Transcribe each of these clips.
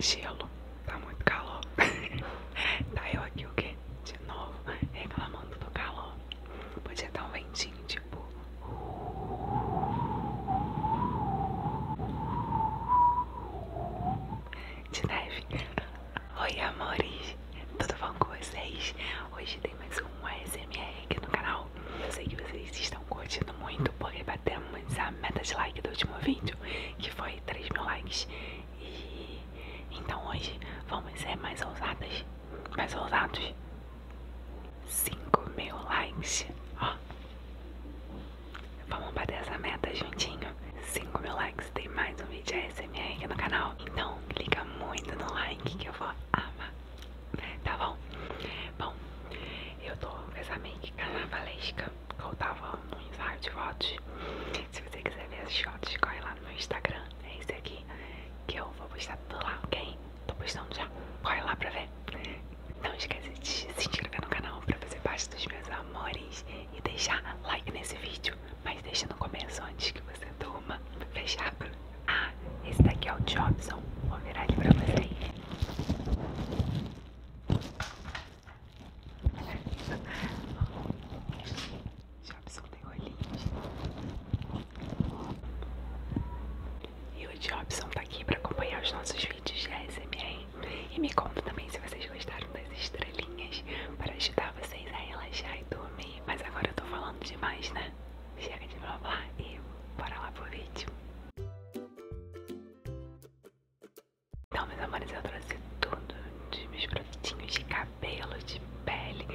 Gelo, tá muito calor. tá eu aqui o quê? De novo reclamando do calor. Podia dar um ventinho tipo. De neve. Oi, amores. Tudo bom com vocês? Hoje tem mais um ASMR aqui no canal. sei que vocês estão curtindo muito porque batemos a meta de like do último vídeo, que foi 3 mil likes. E então hoje vamos ser mais ousados, mais ousados 5 mil likes. Ó. Vamos bater essa meta juntinho. 5 mil likes tem mais um vídeo ASMR aqui no canal. Então liga muito no like que eu vou amar. Tá bom? Bom, eu tô com essa make carnavalesca. Eu tava no ensaio de fotos. Se você quiser ver as fotos, corre lá no meu Instagram. É esse aqui que eu vou postar tudo lá, ok? Tô postando já. Corre lá pra ver. Não esquece de se inscrever no canal pra fazer parte dos meus amores e deixar like nesse vídeo. Mas deixa no começo antes que você durma. Fechado? Ah, esse daqui é o Jobson. Vou virar ele pra vocês. Jobson tem olhinhos. E o Jobson tá aqui pra acompanhar os nossos vídeos de ASMR. E me conta também se vocês gostaram das estrelinhas para ajudar vocês a relaxar e dormir. Mas agora eu tô falando demais, né? Chega de blá blá e bora lá pro vídeo. Então, meus amores, eu trouxe tudo de meus produtinhos de cabelo, de pele,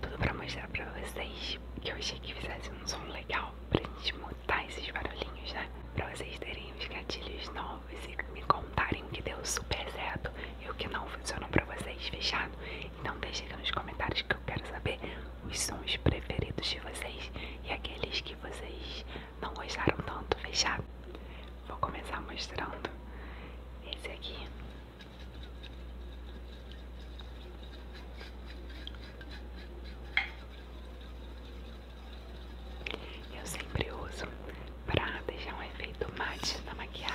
tudo pra mostrar pra vocês que eu achei que fizesse um som legal pra gente mudar tá esses barulhinhos, né? Pra vocês terem os gatilhos novos e me contarem o que deu super certo e o que não funcionou pra vocês, fechado? Então deixa aqui nos comentários que eu quero saber os sons preferidos de vocês e aqueles que vocês não gostaram tanto, fechado? Vou começar mostrando esse aqui. Eu sempre uso para deixar um efeito mate na maquiagem.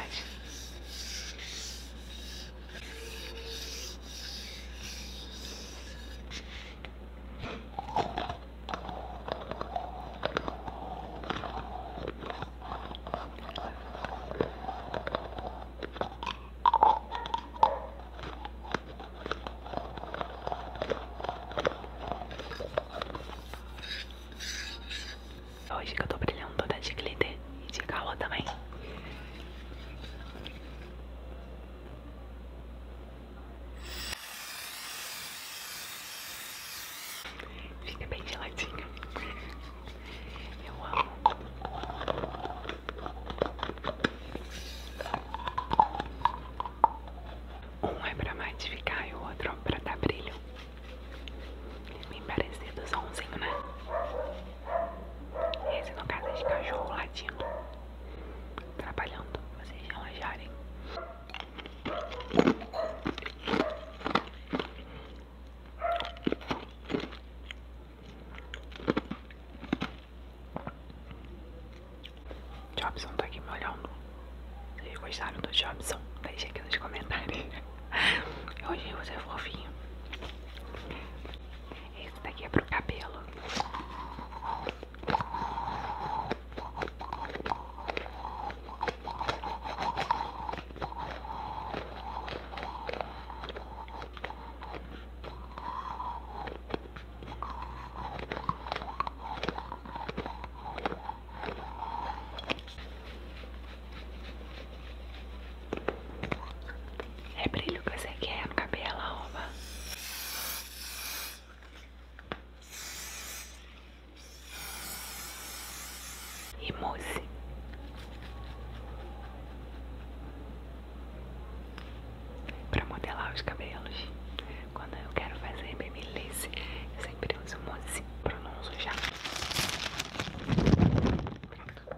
Hoje que eu tô brilhando toda de glitter e de calor também. Fica bem geladinho. Eu amo. Um é pra matificar e o outro pra dar brilho. Me parecido o somzinho, né? Esse no caso é de cachorro latindo. Trabalhando, vocês relaxarem. Jobson tá aqui me olhando. Vocês gostaram do Jobson? deixe aqui nos comentários. Eu achei você fofinho. Esse daqui é pro cabelo. É brilho que você quer no cabelo, arroba. E para modelar os cabelos. Quando eu quero fazer baby lace, eu sempre uso mousse, pronuncio já. Pronto.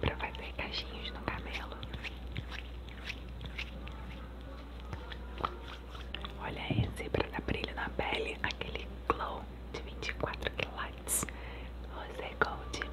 pra fazer caixinhas no cabelo. Olha esse pra dar brilho na pele, aquele glow de vinte e quatro quilates rosé gold.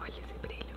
Olha esse brilho.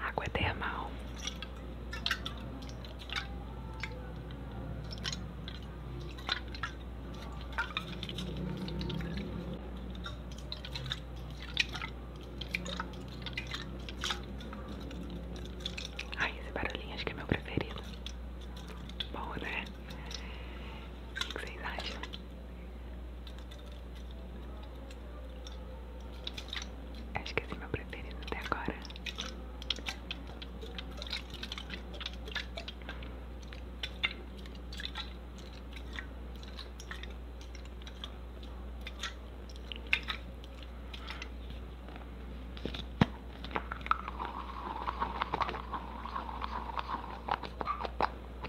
Água é termal. Ai, esse barulhinho acho que é meu preferido. Bom, né? O que vocês acham? Acho que esse é meu preferido até agora.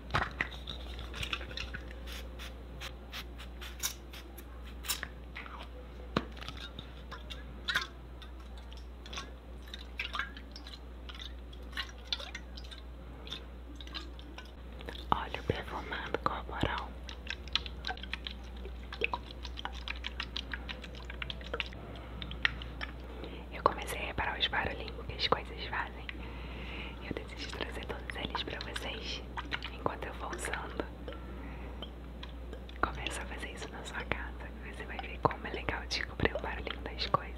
Olha Óleo perfumado corporal. Eu comecei a reparar os barulhinhos que as coisas várias. Eu decidi trazer todos eles pra vocês enquanto eu vou usando. Começa a fazer isso na sua casa. Você vai ver como é legal descobrir o barulhinho das coisas.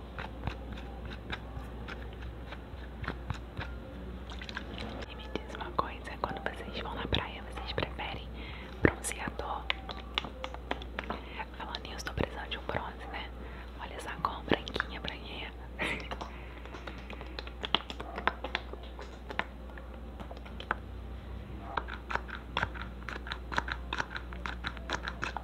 E me diz uma coisa, quando vocês vão na praia, vocês preferem bronzeador? Falando nisso, tô precisando de um bronze, né? Olha essa cor branquinha, branquinha. Ai,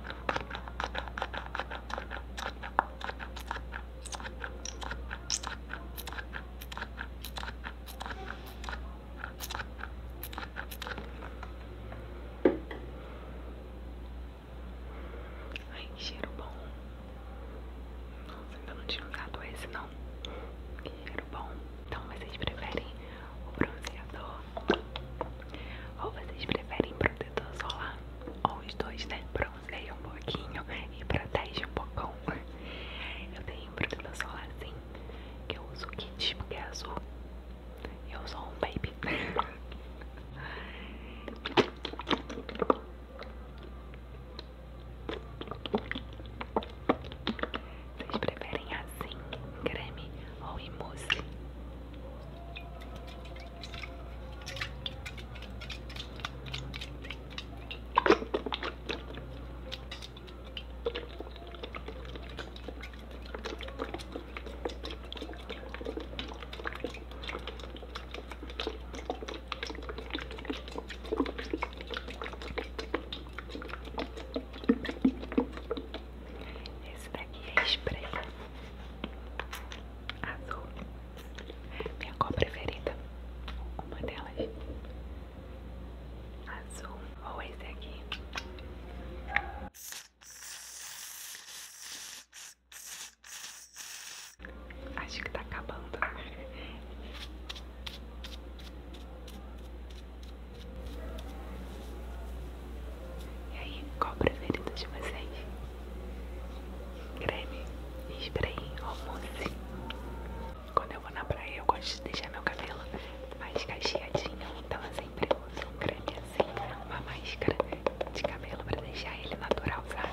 cheiro bom. Nossa, ainda não tinha usado esse não. Que cheiro bom. Então vocês preferem o bronzeador ou vocês preferem protetor solar? Ou os dois, né? Bronzeia um pouquinho e protege um pouco. Eu tenho um protetor solar assim, que eu uso o kit porque é azul. E eu sou um baby. Vocês preferem assim, creme ou em mousse? Esse daqui é spray azul, minha cor preferida, uma delas, azul ou esse aqui. Acho que tá acabando. E aí, qual o preferido de vocês? Creme spray ou Quando eu vou na praia, eu gosto de deixar meu cabelo mais cacheadinho, então eu sempre uso um creme assim, uma máscara de cabelo pra deixar ele natural, sabe?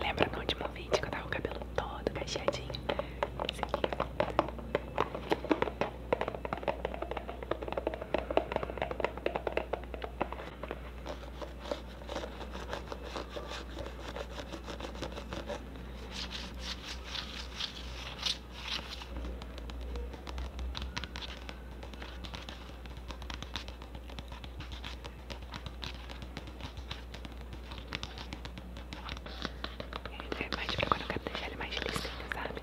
Lembra no último vídeo que eu tava com o cabelo todo cacheadinho? Ele serve mais quando eu quero deixar ele mais lisinho, sabe?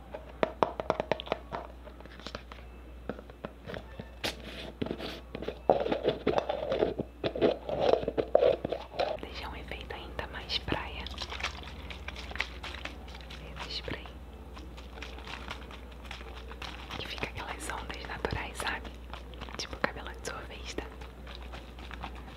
Deixa um efeito ainda mais praia. Esse spray. Que fica aquelas ondas naturais, sabe? Tipo cabelo de sorvista.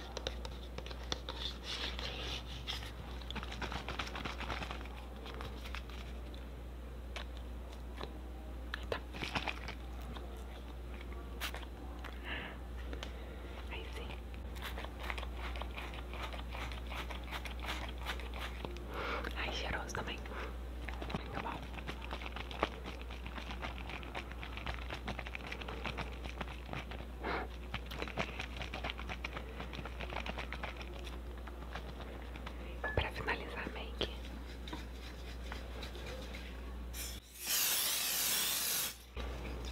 tá. Aí sim. Ai, cheiroso também. tá bom. Para finalizar a make.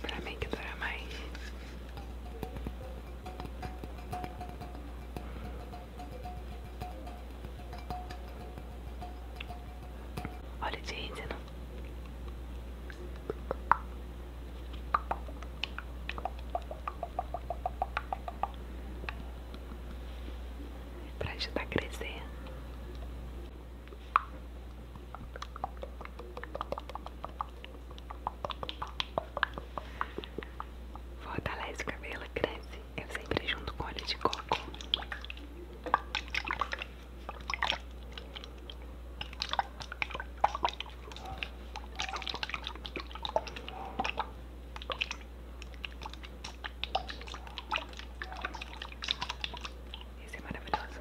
Para make durar mais. Olha, gente, não Pra ajudar a crescer. atalhar o cabelo, cresce. Eu sempre junto com óleo de coco. Esse é maravilhoso.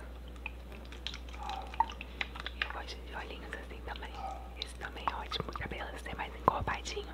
Eu gosto de olhinhos assim também. Esse também é ótimo. O cabelo ser mais encorpadinho.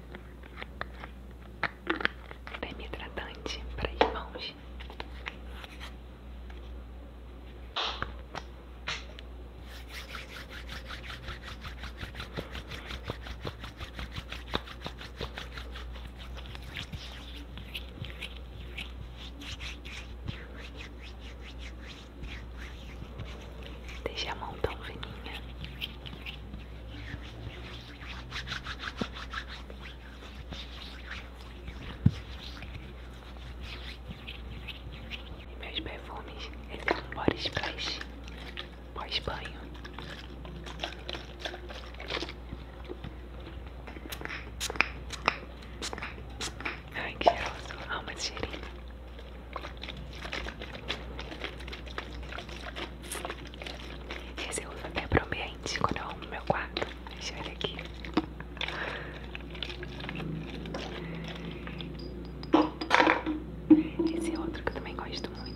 Creme é hidratante para as mãos. Deixe a mão tão fininha. meus perfumes, estão são body splash, pós-banho. Ai, que alma de esse cheirinho. Esse eu para o ambiente quando eu arrumo meu quarto. Deixa ele aqui. Esse é outro que eu também gosto muito.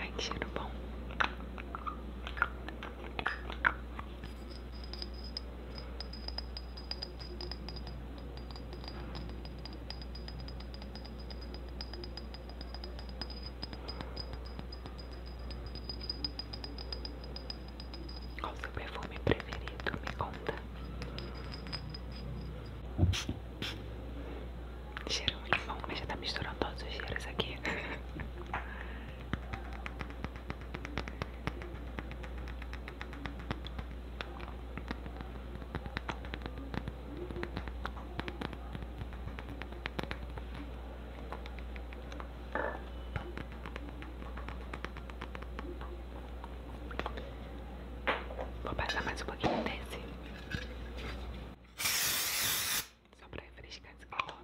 Ai, que cheiro bom. Qual o seu perfume preferido? Me conta. Cheiro muito bom, mas já está misturando todos os cheiros aqui. Vou passar mais um pouquinho desse. Só pra refrescar esse calor.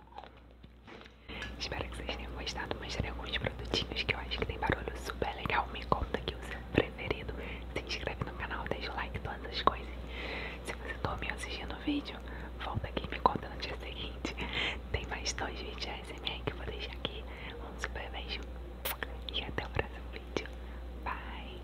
Espero que vocês tenham gostado. Mostrei alguns produtinhos que eu acho que tem barulho super legal. Me conta aqui o seu preferido. Se inscreve no canal, deixa o like, todas as coisas. Se você dormiu tá assistindo o vídeo, volta aqui e me conta no dia seguinte. Tem mais dois vídeos ASMR que eu vou deixar aqui. Um super beijo e até o próximo vídeo. Bye!